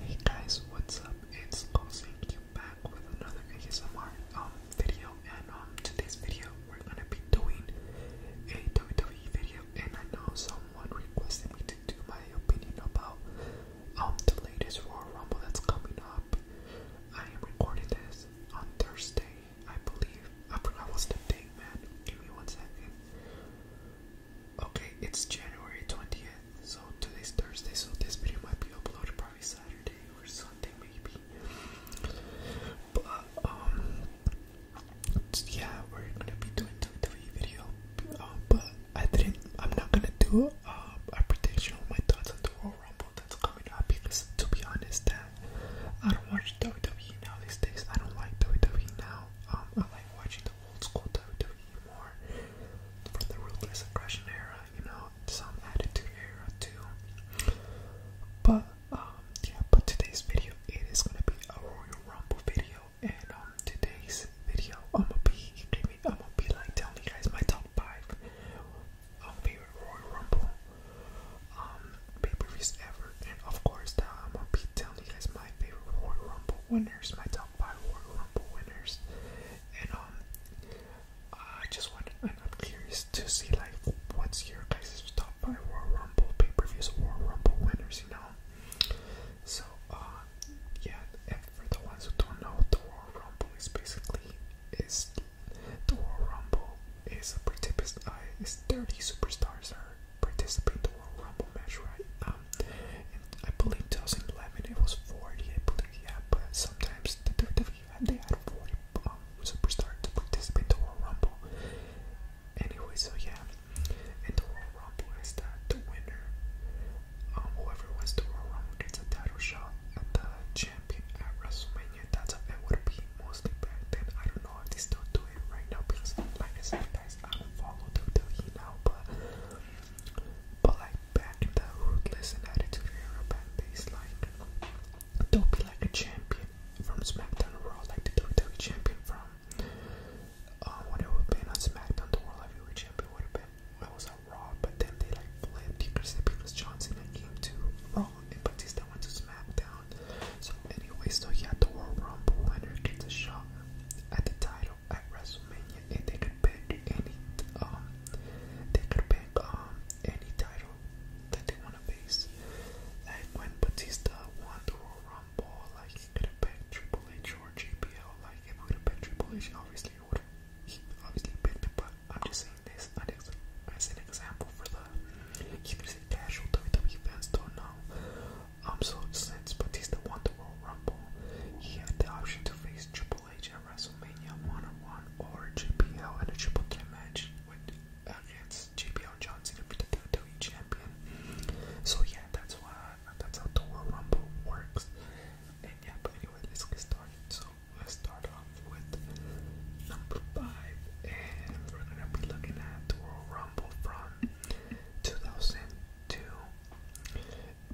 Hey guys, what's up? It's Posink back with another ASMR um, video and um today's video we're gonna be doing a WWE video and I know someone requested me to do my opinion about um the latest Royal Rumble that's coming up. I am recording this on Thursday, I believe. I forgot what's the date man. Give me one second. Okay, it's January 20th, so today's Thursday, so this video might be uploaded probably Saturday or Sunday maybe. But um yeah, we're gonna be doing WWE video. Uh, but I didn't I'm not gonna do um, a prediction on my thoughts on the Royal Rumble that's coming up because to be honest that I don't watch WWE now these days. I don't like WWE now. Um I like watching the old school WWE anymore. From the Ruthless Aggression era, you know, some Attitude era too. But, um, yeah, but today's video, it is gonna be a Royal Rumble video. And, um, today's video, I'm gonna be, I'm gonna be like telling you guys my top 5 um, favorite Royal Rumble um, pay-per-views ever. And, of course, uh, I'm gonna be telling you guys my favorite Royal Rumble winners, my top by Royal Rumble winners, and um, I just wanted, I'm curious to see like what's your guys' top five Royal Rumble pay per views, Royal Rumble winners, you know. So, uh, yeah, for the ones who don't know, the Royal Rumble is basically is the Royal Rumble is a participant. Uh, is thirty superstars are participating Royal Rumble match, right? Um, and I believe 2011 it was 40, I believe, yeah, but sometimes the WWE they had 40 um, superstars to participate in the Royal Rumble. Anyway, so yeah, and the Royal Rumble is that the winner, um, whoever wins the Royal Rumble gets a title shot at the champion at WrestleMania. That's how would be mostly back then. I don't know if they still do it right now because, like guys, I don't follow WWE now, but but like back in the ruthless and attitude era back like don't be like a champion from SmackDown Raw, like the WWE champion from uh, what it would have been on SmackDown, the World Heavyweight Champion would have been well, was on Raw, but then they like flipped. You could because Johnson came to Raw and Batista went to SmackDown. So anyway, so yeah, the World Rumble winner gets a shot at the title at WrestleMania, and they could pick any, um, they could pick um any title that they want to face. Like when Batista won the Royal Rumble, like he could have picked Triple H or JBL. Like if we would have picked Triple H, obviously he obviously picked it. But I'm just saying this as an example for the casual WWE fans don't know absolute sense, Batista won the Royal Rumble. He had the option to face Triple H at WrestleMania one-on-one or JBL in a triple threat match with against JBL Johnson to be the WWE champion. So yeah, that's why that's how the Royal Rumble works. And yeah, but anyway, let's get started. So let's start off with number five, and we're gonna be looking at the Royal Rumble from 2002.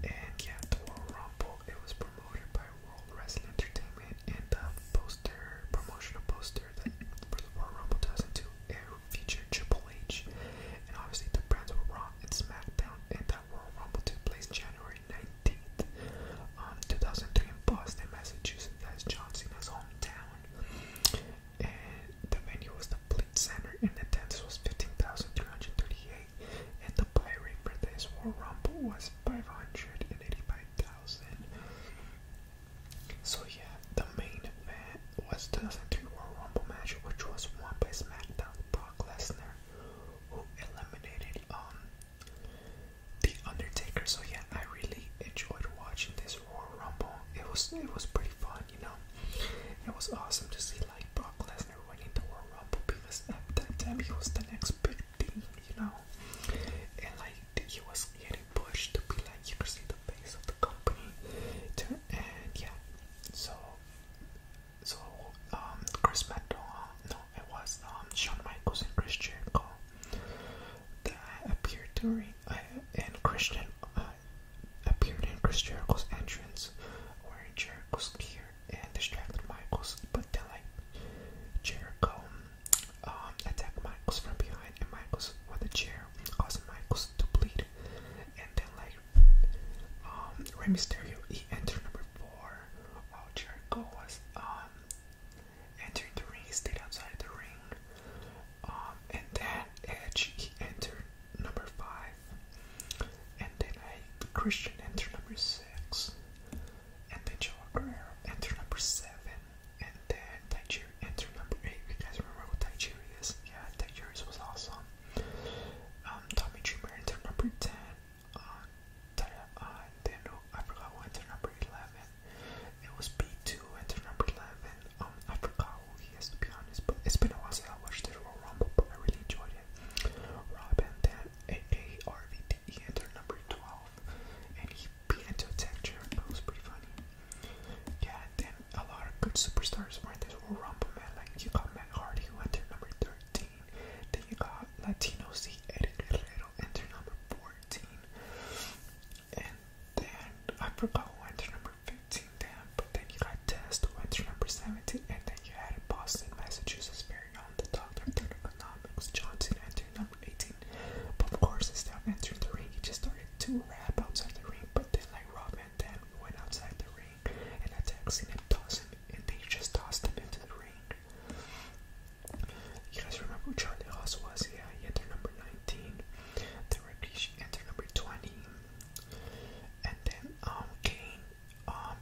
And yeah, the Royal Rumble, it was promoted by World Wrestling Entertainment and the poster, promotional poster that for the Royal Rumble 2002, it featured Triple H. And obviously the brands were Raw and SmackDown and that Royal Rumble took place January 19th, um, 2003 in Boston, Massachusetts. That's John Cena's hometown. And the venue was the complete center in attendance was 15,338, and the buy rate for this War Rumble was 585,000. So, yeah, the main event was 2003 War Rumble match, which was won by SmackDown Brock Lesnar, who eliminated um the Undertaker. So yeah, I really enjoyed watching this War Rumble. It was it was pretty fun, you know. It was awesome to see like Brock Lesnar Lesnar winning the World Rumble because at that time he was the next big thing, you know. And like he was getting pushed to be like you could see the face of the company. And yeah, so so um Chris Metal, no, it was um Shawn Michaels and Chris Jericho that appeared during uh, and Christian uh, uh, appeared in Chris Jericho's entrance, where Jericho's scared and distracted Michaels, but then like Jericho um, attacked Michaels from behind and Michaels with a chair, causing Michaels to bleed. And then like um, Rey Mysterio, he entered number four while Jericho was um entering the ring. He stayed outside the ring. Um, and then Edge he entered number five, and then I Christian enter number six, and then Joao Guerrero entered number seven, and then Tajiri enter number eight. You guys remember who Tajiri is? Yeah, Tajiri was awesome. Um, Tommy Dreamer enter number ten. Uh, uh, then oh, I forgot who entered number eleven. It was B two enter number eleven. Um, I forgot it's been a while since I watched this Royal Rumble, but I really enjoyed it. Rob Van Dam, aka RVD, number 12, and he beat into a tech chair. That was pretty funny. Yeah, then a lot of good superstars were in this Royal Rumble, man. Like, you got Matt Hardy, who entered number 13. Then you got Latino C. Eddie number 14. And then I forgot who entered number number 15 but then you got Test, who went number 17, and then you had Boston, Massachusetts, very the Doctor of Economics, Johnson entered number 18. But of course, instead of entering the ring, he just started to rap outside the ring, but then, like Rob Van Dam, went outside the ring and attacked him and tossed him, and they just tossed him into the ring. You guys remember who Charlie Haas was? Yeah, he entered number 19. The Rikishi entered number 20. And then um, Kane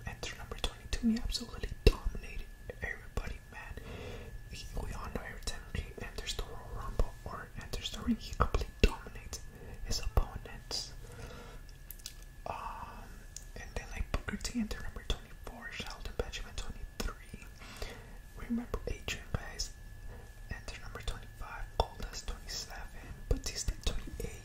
enter um, number 22. He absolutely dominated everybody, man. He, we all know every time he enters the Royal Rumble or enters the ring, he completely dominates his opponents. Um, and then like Booker T enter number 24, Sheldon Benjamin 23. Remember Adrian, guys. Enter number 25, Goldust 27, Batista 28.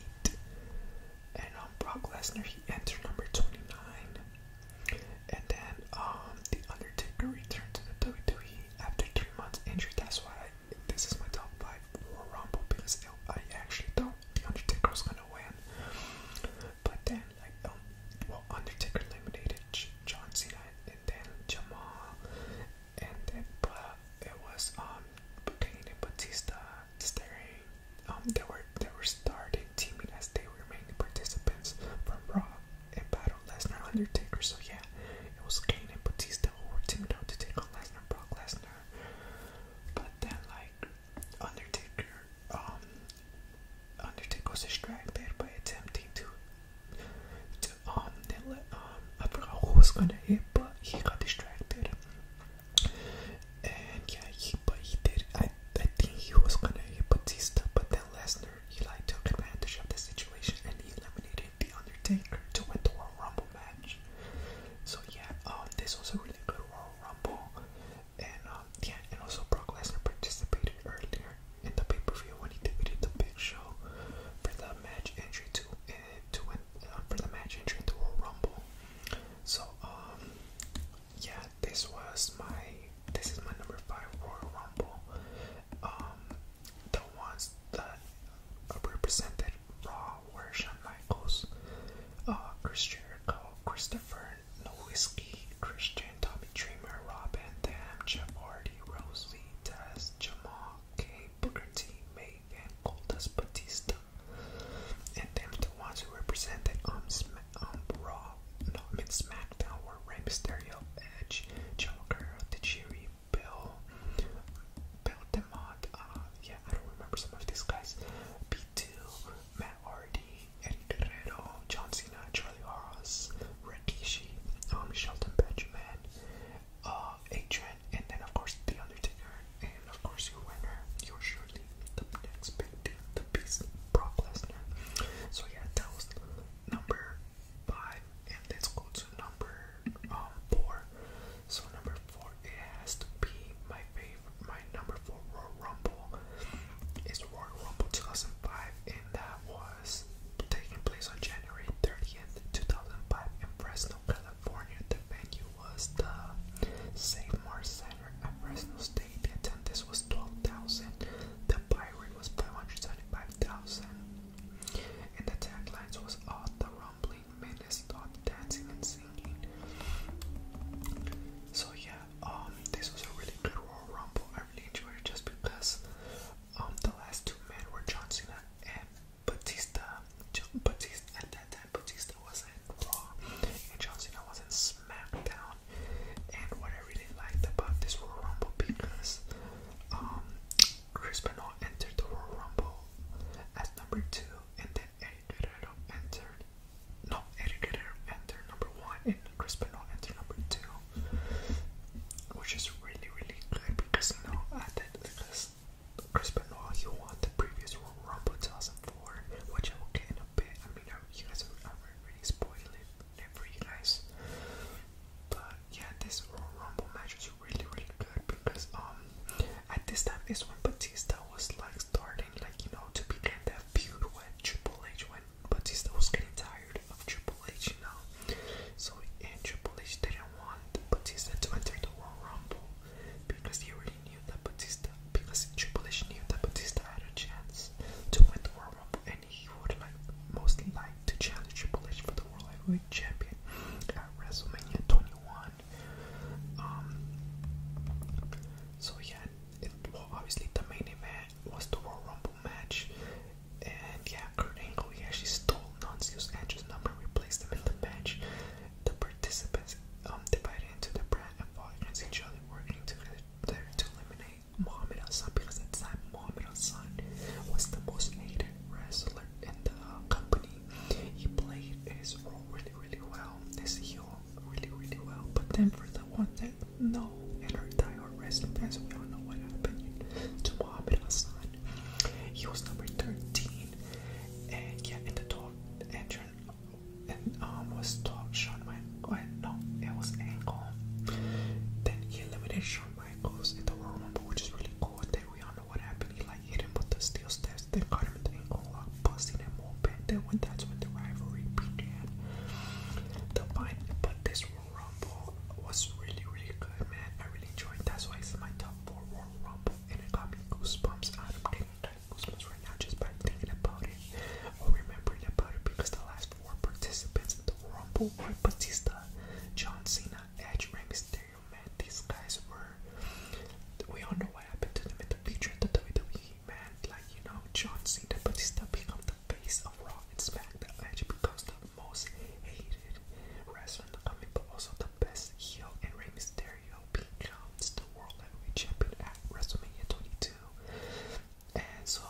And on um, Brock Lesnar, he entered number 29. And then um, The Undertaker returned to the WWE after three months injury. That's why I, this is my top 5 for Rumble because it, I actually thought The Undertaker was going to win. But then, like, um, well, Undertaker eliminated J John Cena and then Jamal. And then, but it was um, Kane and Batista staring, um, they were they were starting teaming as they were mainly participants from Raw and Battle Lesnar Undertaker. So yeah, it was Kane and Batista who were teaming up to take on Lesnar, Brock Lesnar. But then like Undertaker, um, Undertaker was distracted by attempting to, to um, they let, um, I forgot who was gonna hit, but he got distracted. And yeah, he but he did. I I think he was gonna hit Batista, but then Lesnar he like took advantage of the situation and he eliminated the Undertaker to win the Royal Rumble match. So yeah, um, this was a really good Royal Rumble, and um, yeah, and also Brock Lesnar participated earlier in the pay per view when he defeated the Big Show for the match entry to to win uh, for the match entry in Royal Rumble. So um, yeah, this was my this is my number five Royal Rumble. Um, the ones that represented Raw were Shawn Michaels, Christian, uh, Chris Jericho, Christopher Nowitzki, Christian, Tommy Dreamer, Rob Robin, Dam, Jeff Hardy, Rose Lee, Tess, Jamal, K, Booker T, and Goldust Batista, and them the ones who represented on um, um, Raw, no, I mean SmackDown, were Rey Mysterio, Edge, Joe Guerrero, Tajiri, Bill, Bill DeMott, uh, yeah, I don't remember some of these guys, B2, Matt Hardy, Eddie Guerrero, John Cena, Charlie Haas, Rikishi, um, Shelton Benjamin, uh, Adrian, and then of course The Undertaker, and of course your winner, your surely the next big deal, the beast, Brock Lesnar. So yeah, that was number five, and let's go to number um, four. So number four, it has to be my favorite, my number four Royal Rumble is Royal Rumble 2005, and that was taking place on January 30th, 2005 in Fresno, California. California, the venue was the St. Mars Center at Fresno State. The attendance was 12,000. The buy was 575,000. And the taglines was all the rumbling menace, all dancing and singing. So yeah, um, this was a really good Royal Rumble. I really enjoyed it just because um the last two men were John Cena and Batista, Batista at that time, Batista wasn't Raw, and John wasn't SmackDown. And what I really liked about this Royal Rumble because um, Chris Benoit entered the Royal Rumble as number two, and then Eddie Guerrero entered. No, Eddie Guerrero entered number one, and Chris Benoit entered number two, which is really, really good because you know I did because Crispin, Benoit, he won the previous Royal Rumble 2004, which I will get in a bit. I mean, you guys are, I'm really spoiling it for you guys. But yeah, this Royal Rumble match was really, really good because um, at this time is when Batista was like starting, like you know, to begin that feud when Triple H, when Batista was getting tired of Triple H, you know. So and Triple H didn't want Batista to enter the Royal Rumble because he already knew that Batista, because Triple H knew that Batista had a chance to win the World Rumble, and he would like most like to challenge Triple H for the World Heavyweight Champion at WrestleMania 21. Um, so yeah, obviously the main event was the World Rumble match, and yeah, Kurt Angle he actually stole and just number and replaced him in the match. The participants um, divided into the brand and fought against each other, working together to eliminate Muhammad Hassan because at the time Muhammad Hassan was the most hated wrestler in the company. He played his role really, really well, This heel really, really well. But then for the one that no and her diehard wrestling fans, we all know what happened to Muhammad Hassan. He was number 13 and yeah in the called and arm um, was taught Shawn Michaels. No, it was ankle. Then he eliminated Shawn Michaels in the Royal Rumble, which is really cool. Then we all know what happened. He like hit him with the steel steps, then caught him in the ankle lock, busting him open. Then when that's when the rivalry began. The fight, but this Royal Rumble was really, really good, man. I really enjoyed. That's why it's my top four Royal Rumble, and it got me goosebumps I'm getting the Christmas right now just by thinking about it or remembering about it because the last four participants in the Rumble were Batista, John Cena, Edge, Rey Mysterio. Man, these guys were. We all know what happened to them in the future of the WWE. Man, like you know, John Cena, Batista become the face of Raw and SmackDown. Edge becomes the most hated wrestler in the company, but also the best heel and Rey Mysterio becomes the World Heavyweight Champion at WrestleMania 22. And so,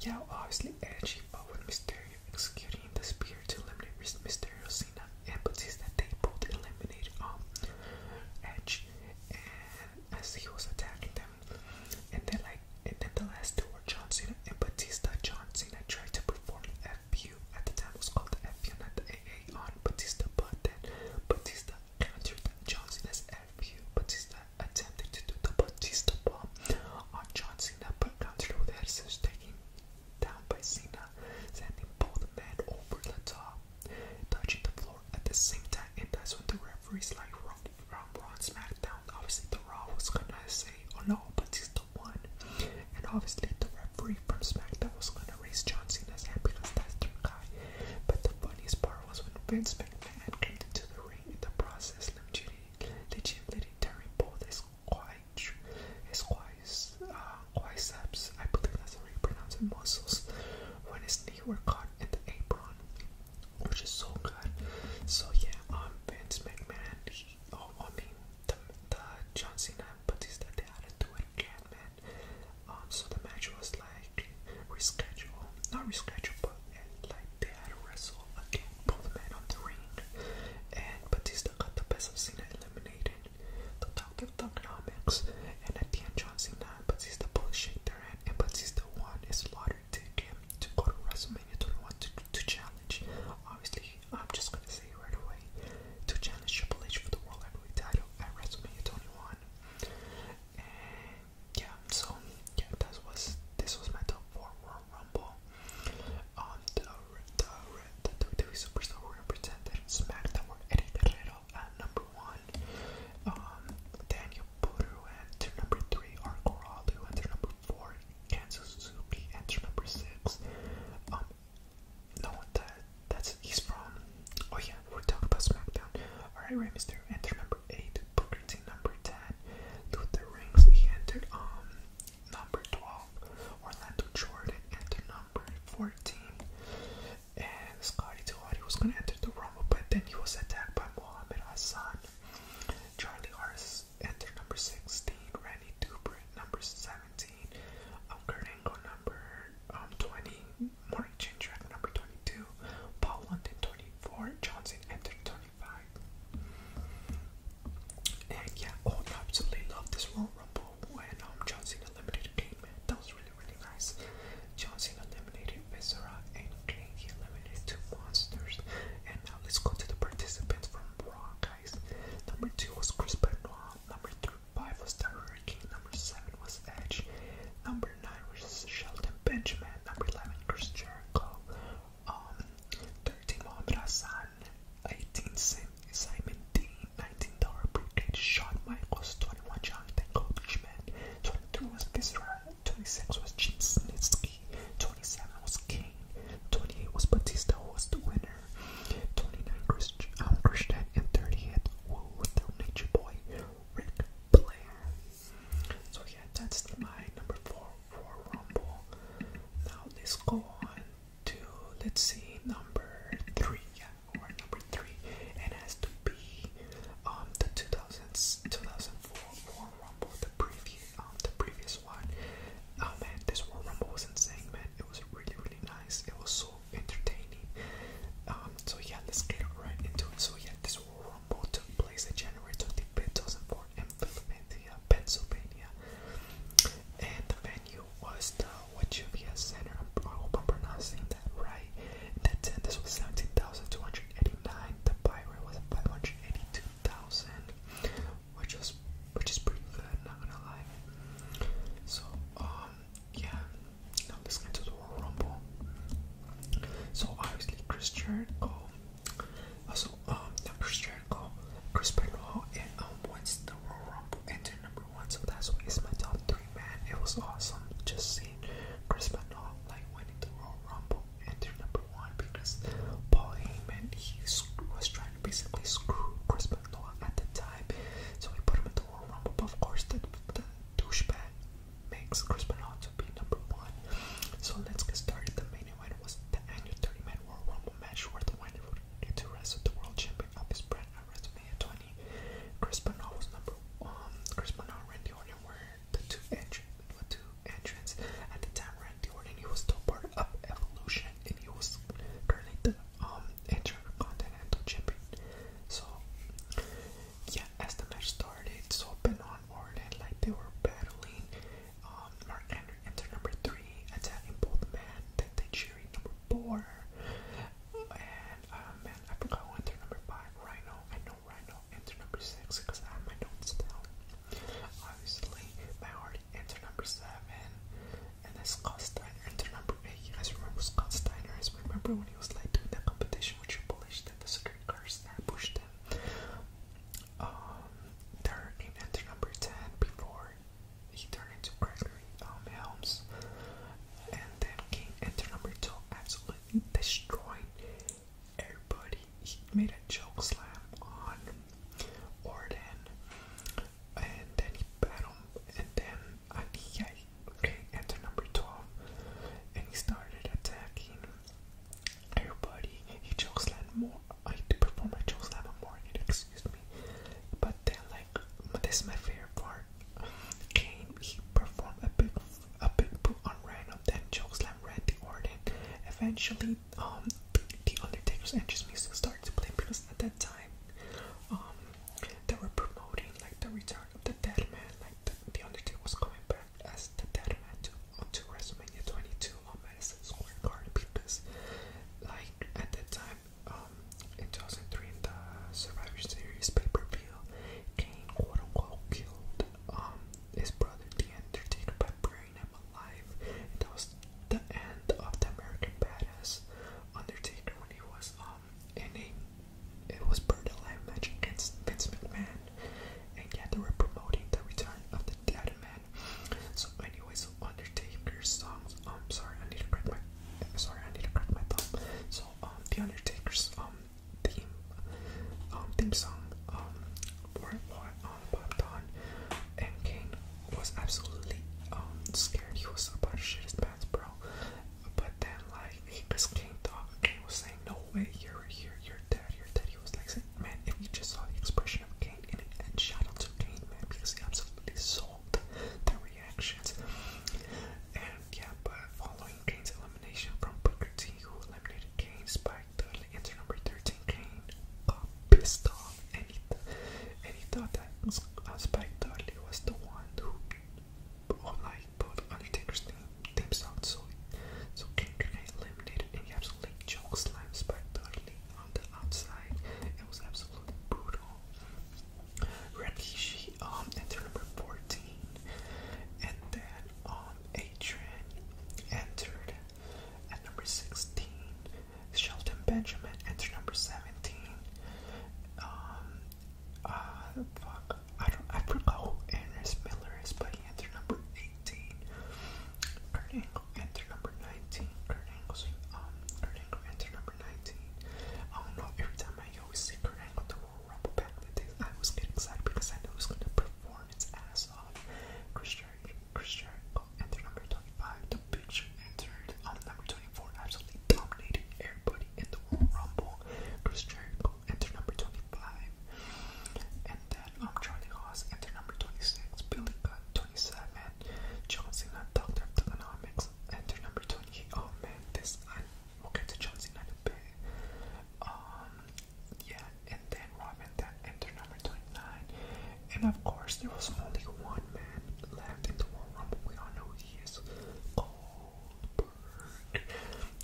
yeah, obviously Edge fought with Mysterio, executing the spear to eliminate Mysterio, Cena, and Batista. They both eliminated um, Edge, and as he was attacking them, and then like, and then the last two were John Cena and Batista. John Cena tried to perform a few AEW at the time was called the FU, not the AA on Batista, but then Batista countered John Cena's FU. Batista attempted to do the Batista bomb on John Cena, but countered with Heritage taking down by Cena, sending both men over the top, touching the floor at the same time, and that's when the referees like Raw, Raw, Raw SmackDown, obviously the Raw was gonna say, oh no, Batista won, and obviously the referee from SmackDown was gonna to raise John Cena's happiness tester guy. But the funniest part was when Vince McMahon came into the ring in the process, legitimately tearing both his quite his quais, uh, quiceps, I believe that's how you pronounce it, muscles, when his knee were caught in the apron, which is so good. So yeah, um, Vince McMahon, he, oh, I mean, the, the John Cena Batista, they had to do again, man. Um, so the match was like rescheduled, not rescheduled, but like they had to wrestle again, both men on the ring. And Batista got the best of Cena, eliminating the Doctor of Thugonomics. And at the end, John Cena and Batista both shake their hand, and Batista won his lottery ticket to go to WrestleMania 21 to challenge. Obviously, I'm just gonna say right away to challenge Triple H for the World Heavyweight title at WrestleMania 21. yeah, so yeah, that was this was my top four World Rumble. Um, the the the WWE superstar were represented SmackDown were Eddie Guerrero at number one, um, Daniel Puru at number three, Arco Ralu at number four, Kansas Suzuki at number six, um, no one died. That's he's from. Oh yeah, we are talking about SmackDown. Alright, right, Mister. Enter number eight. Booker T number ten. Luther Rings he entered um number twelve. Orlando Jordan entered number fourteen. And Scotty Tuhati was gonna enter the Rumble, but then he was attacked by Muhammad Hassan. Charlie Harris entered number sixteen. Randy Duper number seventeen. 17. Um, Kurt Angle number um, 20. Morning Chain Track number 22. Paul London 24. Johnson entered 25. And yeah, oh, and I absolutely love this Royal Rumble when um, John Cena eliminated Kane, man. That was really, really nice. John Cena eliminated Viscera and Kane. He eliminated two monsters. And now let's go to the participants from Raw, guys. Number two was Chris Benoit. Number three 5 was Tyler King, number 7 was Edge, number 9 was Sheldon Benjamin, number 11 Chris Jericho, um, 13 Mohamed Hassan, 18 Simon Dean, 19 Dollar Brigade, twenty one Michaels, 21 Jonathan Goldschmidt, 22 was Viscera, 26 was Jim Snitsky, 27 was King, 28 was Batista who was the winner, 29 um, Christian, um, and 38 Woo with their nature boy, Rick Blair. So yeah, that's my number 4 for Rumble. Now let's go on to, let's see, number 3. Yeah, or number 3. It has to be um, the 2000s, 2004 War Rumble, the previous, um, the previous one. Oh man, this War Rumble was insane, man. It was really, really nice. It was so entertaining. Um, so yeah, let's get right into it. So yeah, this rumble took place in January 2004 in Philadelphia, Pennsylvania, and the venue was the Wachuvia Center. I hope I'm pronouncing that right. The attendance was 17,289. The buy rate was 582,000, which was which is pretty good, not gonna lie. So um, yeah, now let's get to the Royal Rumble. So obviously Chris Jericho, also uh, um not Chris Jericho, Chris Benoit, and um wins the Royal Rumble and number one. So that's why it's my top three, man. It was awesome just seeing Chris Benoit like winning the Royal Rumble and they number one because Paul Heyman he was trying to basically screw Chris Benoit at the time, so he put him in the Royal Rumble, but of course the, the douchebag makes Chris Benoit to be number one. So let's get started. The main event was the annual 30-man Royal Rumble match where the winner would get to wrestle the world champion of his brand at WrestleMania 20. Chris Benoit was number um Chris Benoit and Randy Orton were the two entr the two entrants at the time. Randy Orton he was still part of Evolution and he was currently the um, Intercontinental Champion. So, yeah, as the match started, it's open on Onward, and like they were battling, um, Mark Henry entered number three, attacking both men. Then they cheered number four, and uh, man, I forgot who entered number five. Rhino, I know Rhino entered number six because I have my notes still. Obviously, I already entered number seven and as Scott Steiner, and remember, you guys remember Scott Steiner? remember when he was like doing that competition which Triple H, the secret cars that pushed him. Um, they're in enter number 10 before he turned into Gregory um, Helms, and then King enter number 2 absolutely destroyed everybody. He made a joke slam on Orton and then he bat him, and then I think I enter number 12, and he started attacking everybody. He chokeslammed more. I had to perform a chokeslam more. Morgan, excuse me. But then, like, this is my favorite part. Kane, he performed a big, a big boot on Random, then chokeslam Randy Orton. Eventually, um, the Undertaker's entrance music started to play because at that time um, they were promoting like the return of the dead man, like the, the Undertaker was coming back as the dead man to, to WrestleMania 22 on Madison Square Garden because, like, at that time, um, in 2003, in the Survivor Series pay per view, Kane quote unquote killed um, his brother, The Undertaker, by burying him alive, and that was the end of the American Badass Undertaker when he was. Um, um, and it, was part of the live match against Vince McMahon. And yet they were promoting the return of the dead man. So anyway, so Undertaker's songs. Um, sorry, I need to crack my. Sorry, I need to crack my thumb. So um, the Undertaker's um theme um theme song um where on popped um, on, and Kane was absolutely um scared. He was about to shit his pants, bro. But then, like, he just came off and Kane was saying, No way, you're here, you're dead, you're dead. He was like, saying, Man, if you just saw the expression of Kane in it, and shout out to Kane, man, because he absolutely sold the reactions. And yeah, but following Kane's elimination from Booker T, who eliminated Kane, Spike Dudley, enter number 13, Kane got pissed off, and he, th and he thought that uh, Spike Dudley was the one who online, but Undertaker's theme sound so so Kendrick eliminated and he absolutely choked Slime spectacularly on the outside. It was absolutely brutal. Rikishi um entered number 14 and then um, Adrian entered at number 16. Shelton Benjamin entered number 17. Um, uh, fuck. I don't. I forgot who Anders Miller is, but he entered number 18. Kurt Angle entered number 19. Kurt Angle's, um, Kurt Angle entered number 19. I don't know. Every time I always see Kurt Angle the Royal Rumble back I was getting excited because I know he's gonna perform his ass off. Chris Jericho entered number 25. The Big Show entered um, number 24. Absolutely absolutely everybody in the World Rumble. Chris Jericho entered number 25, and then um, Charlie Haas entered number 26, Billy Gunn 27, John Cena, Doctor of Economics number 28. Oh man, this I will get to John Cena a bit. Um, yeah, and then Robin that entered number 29, and of course, there was only one man left in the World Rumble. We all know he is. Cole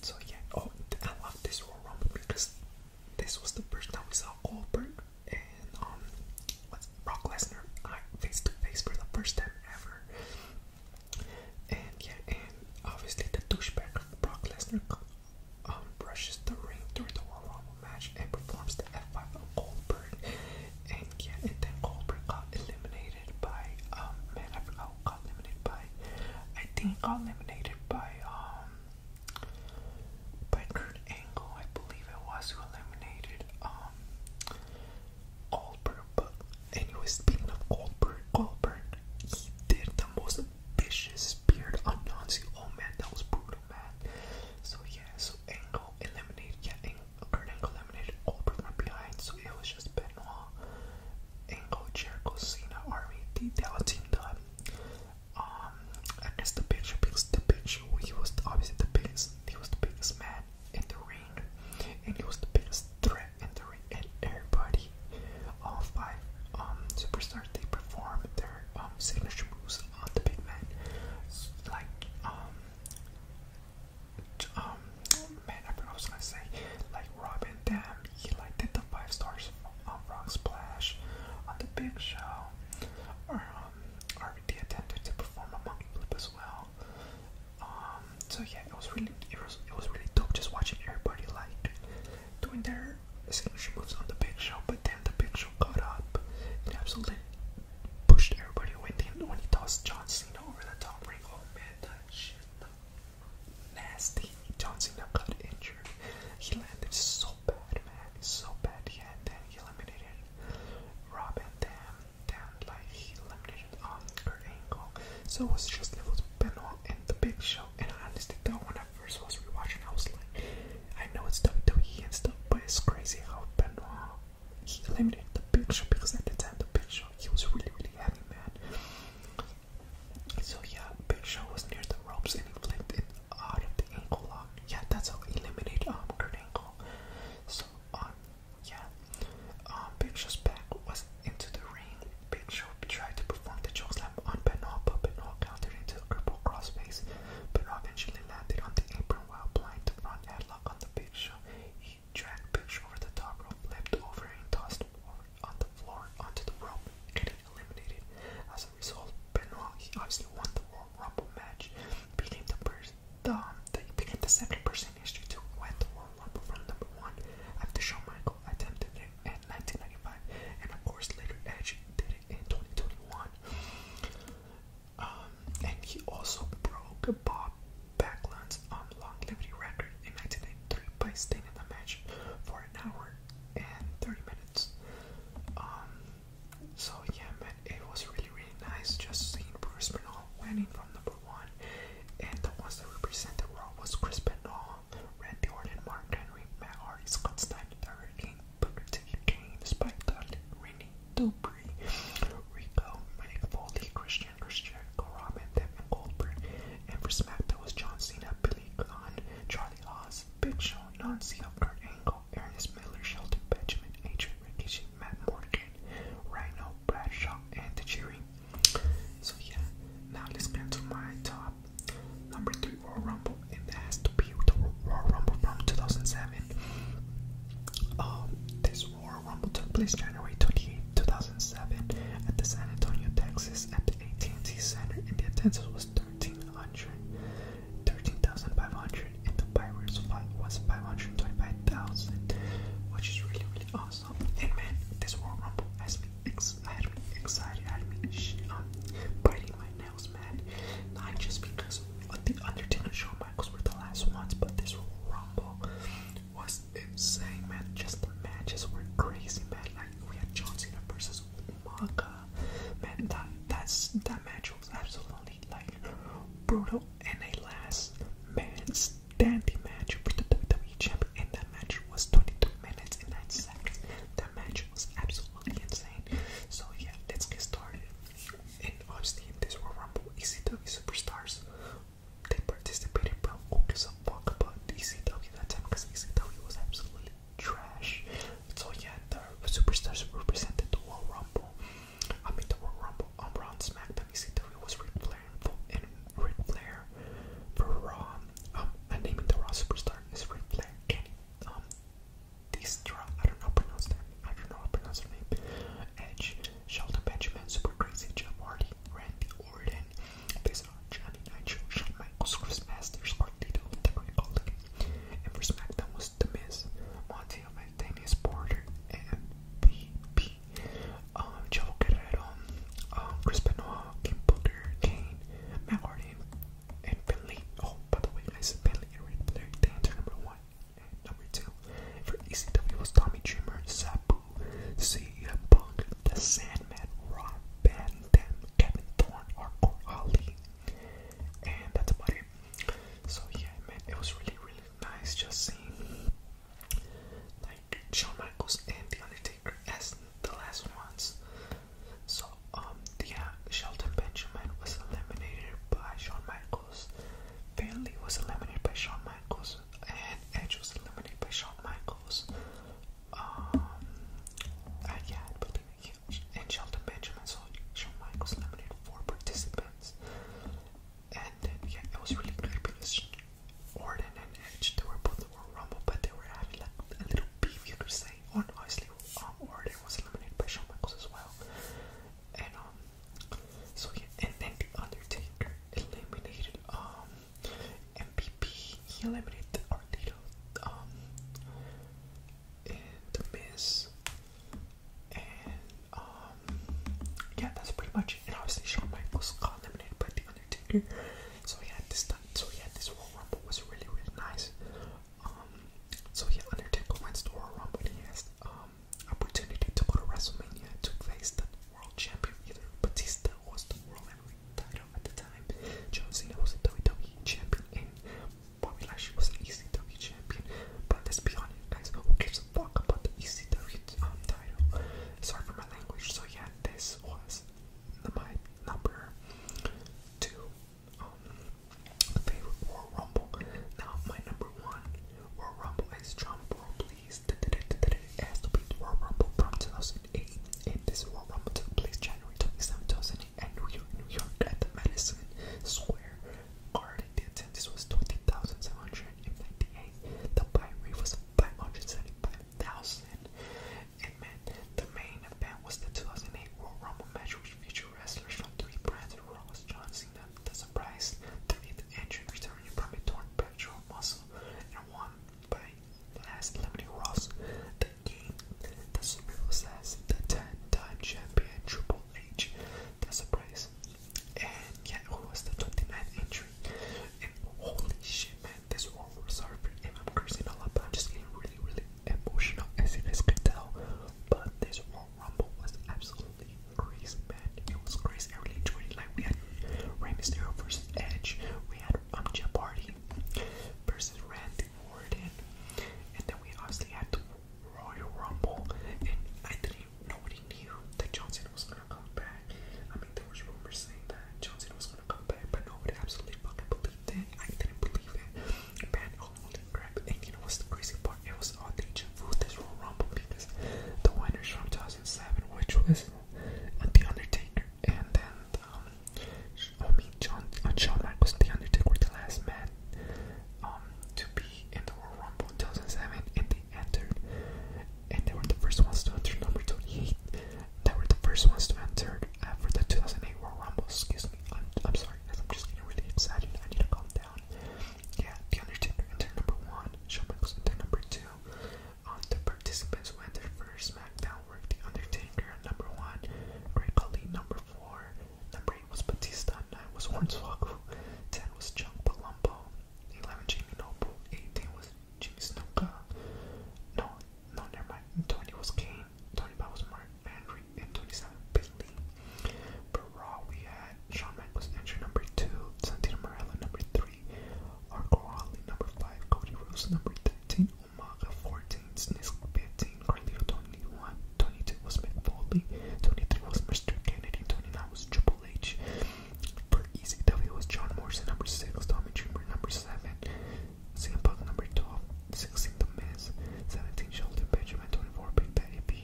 so yeah, oh, I love this roll rumble because this was the first time we saw Goldberg and um, what's Brock Lesnar face to face for the first time ever. And yeah, and obviously the douchebag Brock Lesnar um, brushes the ring during the Royal Rumble match and performs the F5 of Goldberg and yeah, and then Goldberg got eliminated by um man, I forgot who eliminated by. I think got eliminated by um by Angle, I believe it was who eliminated um Goldberg. But anyway, speaking of Goldberg, Goldberg he did the most vicious spear on Nancy. Oh man, that was brutal, man. So yeah, so Angle eliminated yeah Angle Gernenko eliminated Goldberg from behind, so it was just Benoit, Angle, Jericho, Cena, Army, the Dallas team Um, I guess the picture picks the picture. He was obviously the biggest. He was the biggest man in the ring, and he was the biggest threat in the ring. And everybody, all five um superstars, they performed their um signature moves on the big man, like um um, man, I was gonna say, like Robin Dam, he like did the five stars on um, Rock Splash, on the Big Show, or um, or the attempted to perform on Monkey Flip as well. Um, so yeah, it was really, it was, it was really dope just watching everybody like doing their signature moves on the Big Show, but then the Big Show got up and absolutely pushed everybody away. Then when he tossed John Cena over the top ring, oh man that shit looked nasty. John Cena got injured. He landed so bad, man. So bad. Yeah, and then he eliminated Robin Dam. Down like he eliminated um Kurt Angle. So it was just it was Benoit and the Big Show. And honestly, though, when I first was rewatching, I was like, I know it's WWE and stuff, but it's crazy how Benoit uh, he eliminated the picture because at the time the picture he was really really heavy man. So yeah, Big Show was near the ropes and he flipped it out of the ankle lock. Yeah, that's how he eliminated um Kurt Angle. So um yeah, um Big Show's back was into the ring. Big Show tried to perform the slam on Benoit, but Benoit countered into a cripple crossface. Benoit eventually landed on the apron while applying the front headlock on the Big Show. He dragged Picture over the top rope, leapt over and tossed him on the floor onto the rope, getting eliminated. As a result, Benoit obviously won the World Rumble match, beating the person. The, became the second person in history to win the World Rumble from number one after Shawn Michaels attempted it in 1995, and of course later Edge did it in 2021. Um, and he also broke a Bob Backlund's longevity record in 1993 by staying in the match for an hour and 30 minutes. Um, so yeah, man, it was really, really nice just seeing Bruce Bernal winning from number one, and the ones that represented Raw was Chris Bernal, Randy Orton, Mark Henry, Matt Hardy, Scott Steiner, The Booker T, Kane, Spike Dudley, Renee Dupree, Rico, Mike Foley, Christian and Goldberg. And for SmackDown was John Cena, Billy Gunn, Charlie Haas, Big Show, Non-CEO, Kurt Angle, Ernest Miller, Shelton Benjamin, Adrian Rikishi, Matt Morgan, Rhino, Bradshaw, and the Jerry. So yeah, now let's get to my top number three Royal Rumble, and that has to be the Royal Rumble from 2007. Um, this War Rumble took place January 28, 2007 at the San Antonio, Texas at the AT&T Center and the attendance was 1,300, 13,500 and the Pirates fight was 525,000 which is really really awesome. And man, this War Rumble has me, ex had me excited, had me um, biting my nails man, not just because the Undertaker and Shawn Michaels were the last ones but this War Rumble was insane, man. Just the matches were crazy, man. Like we had John Cena versus Umaga, man. That that's that match was absolutely like brutal and a last man standing match for the WWE champion. And that match was 22 minutes and 9 seconds. That match was absolutely insane. So yeah, let's get started. And obviously in this Royal Rumble, ECW superstars they participated but who gives a fuck about ECW that time because ECW was absolutely trash. So yeah, the superstars represented the World Rumble. I mean the World Rumble on Raw SmackDown ECW was Ric Flair and Ric Flair for Raw. Um, and naming the Raw superstar is Ric Flair um Distra. I don't know pronounce that. I don't know how to pronounce her name. Edge, Shelton Benjamin, Super Crazy, Jeff Hardy, Randy Orton, based Johnny Nitro, Shawn Michaels, Chris Masters, Carlito, The Great Baltic. And for SmackDown was The Miz, Monty Damius Porter, and BP. Um, uh, Joe Guerrero, uh, Chris Benoit, Kim Booker, Matt Hardy, and Finley. Oh, by the way, guys, Finley and Red Blair, they enter number one number two. For ECW was Tommy Dreamer, Sabu, CM Punk, The Sandman, Rob Van Dam, Kevin Thorne, Hardcore Ali. And that's about it. So yeah, man, it was really, really nice just seeing like Shawn Michaels and The Undertaker as the last ones. So um, yeah, Shelton Benjamin was eliminated by Shawn Michaels. Finley was eliminated by Shawn Michaels and Edge was eliminated by Shawn Michaels. Um, yeah, I believe And Shelton Benjamin, so Shawn Michaels eliminated four participants. And yeah, it was really great because Orton and Edge, they were both in Royal but they were having like a little beef, you could say. Or oh, um, Orton was eliminated by Shawn Michaels as well. And um, so yeah, and then Undertaker eliminated um, he eliminated Artito, um, and The Miz, and, um, yeah, that's pretty much it. And obviously, Shawn Michaels got eliminated by The Undertaker, so he had this time, so he had this Royal Rumble was really, really nice, um, so yeah, Undertaker went to Royal Rumble, and he has, um, opportunity to go to WrestleMania took face the world champion either. Batista was the world heavyweight title at the time. John Cena was the WWE champion, and Bobby Lashley was the ECW champion. But let's be honest, guys, who gives a fuck about the ECW um, title? Sorry for my language. So yeah, this was my number two um, favorite Royal Rumble. Now my number one Royal Rumble is John World released as to be the Rumble from 2008. And this Royal Rumble took place January 27, 2008 at New York, New York at the Madison Square Garden. The attendance was 20,798. The buy rate was 575,000. And man, the main event was the 2008 Royal Rumble match, which featured wrestlers from three brands: Ross, John Cena, The Surprise, The Eighth returning from a torn pectoral and won by last eliminating Ross. The game the Super the 10 time champion Triple H. That's a prize. And yeah, who was the 29th entry? And holy shit, man, this one was hard for him. i I'm just getting really, really emotional as you guys can tell. But this Rumble was absolutely crazy man, it was crazy. I really Like we had Rey Mysterio versus Edge, we had um Jeff versus Randy Orton, and then we obviously had the Royal Rumble. And I didn't nobody knew that Johnson was gonna come back. I mean, there was rumors saying that Johnson was gonna come back, but nobody absolutely fucking believed it. I didn't believe it. Man, holy crap! And you know what's the crazy part? It was all the food this Royal Rumble because the winners from Toss 2007, which was The Undertaker, and then um, Omid John, uh, John Michaels, The Undertaker, the last man um, to be in the World Rumble in 2007, and they entered, and they were the first ones to enter number 28. They were the first ones to enter uh, for the 2008 World Rumble. Excuse me, I'm, I'm sorry, guys, I'm just getting really excited. I need to calm down. Yeah, The Undertaker entered number one, Shawn Michaels entered number two. On um, the participants who entered first SmackDown were The Undertaker number one, Great Khali number four, number eight was Batista, nine was Hornswoggle, ten was Chuck Palumbo, eleven Jamie Noble, eighteen was Jimmy Snuka, no, no, never mind, twenty was Kane, twenty-five was Mark Henry, and twenty-seven Billy. For Raw, we had Shawn Michaels entry number two, Santino Morella number three. 40. number 5. Cody Rose, number 13. Umaga, 14. Snisk, 15. Carlito, 21. 22 was McFoley. 23 was Mr. Kennedy. 29 was Triple H. For ECW was John Morrison, number 6. Tommy Dreamer, number 7. CM Punk, number 12. 16, The Miz. 17, Sheldon Benjamin. 24, Big Daddy B.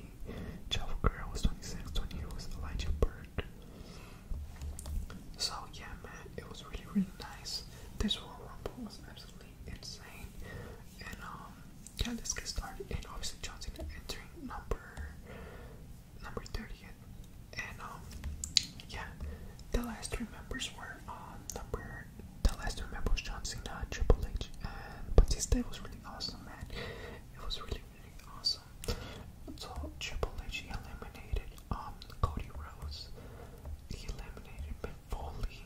Chavo Guerrero was 26. 28 was Elijah Burke. So yeah, man, it was really really nice. This Royal Rumble was absolutely insane. And um, yeah, let's get started. And obviously, John Cena entering number number thirtieth. And um, yeah, the last three members were um number the last three members John Cena, uh, Triple H, and Batista. It was really awesome, man. It was really Awesome. So Triple H eliminated um Cody Rhodes. He eliminated Mick Foley.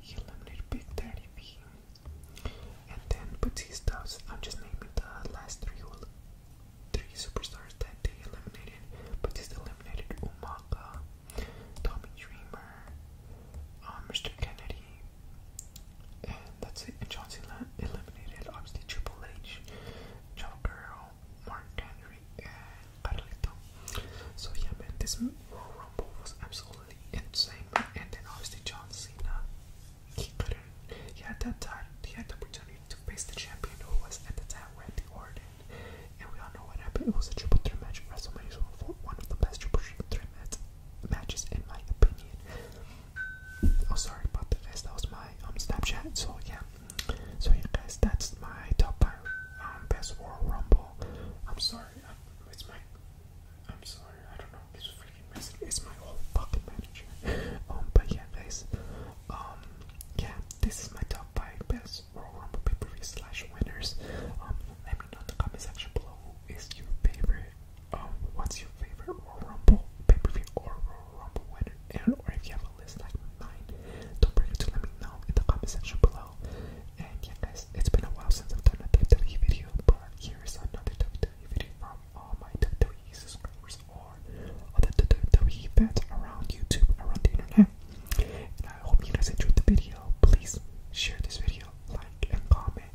He eliminated Big Daddy V. And then Batista. I'm just naming the last three three superstars that they eliminated. Batista eliminated Umaga, Tommy Dreamer, um, Mr. Kennedy. And that's it. And John Cena eliminated obviously Triple H. Girl, Mark Henry, and Carlito. So yeah, man, this Royal Rumble was absolutely insane. Man. And then obviously John Cena, he couldn't. He had that time. He had the opportunity to face the champion who was at the time the Orton. And we all know what happened. It was a triple threat match. WrestleMania was one of the best triple threat matches, in my opinion. Oh, sorry about the That was my um, Snapchat. So yeah. So yeah, guys, that's my top five um, best Royal Rumble. I'm sorry. I'm, it's my. I'm sorry. I its my i am sorry i do not know. It's freaking messy. It's my old fucking manager. um, but yeah, guys. Um, yeah. This is my top five best Royal Rumble pay per view slash winners. Um, let me know in the comment section below who is your favorite. Um, what's your favorite Royal Rumble pay per view or Royal or if you have a list like mine, don't forget to let me know in the comment section below. And yeah, guys, it's been a while since I've done a WWE video, but here's another WWE video from all my WWE subscribers or other WWE fans around YouTube, around the internet. And I hope you guys enjoyed the video. Please share this video, like, and comment.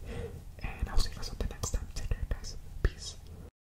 And I'll see you guys on the next time. Take care, guys. Peace.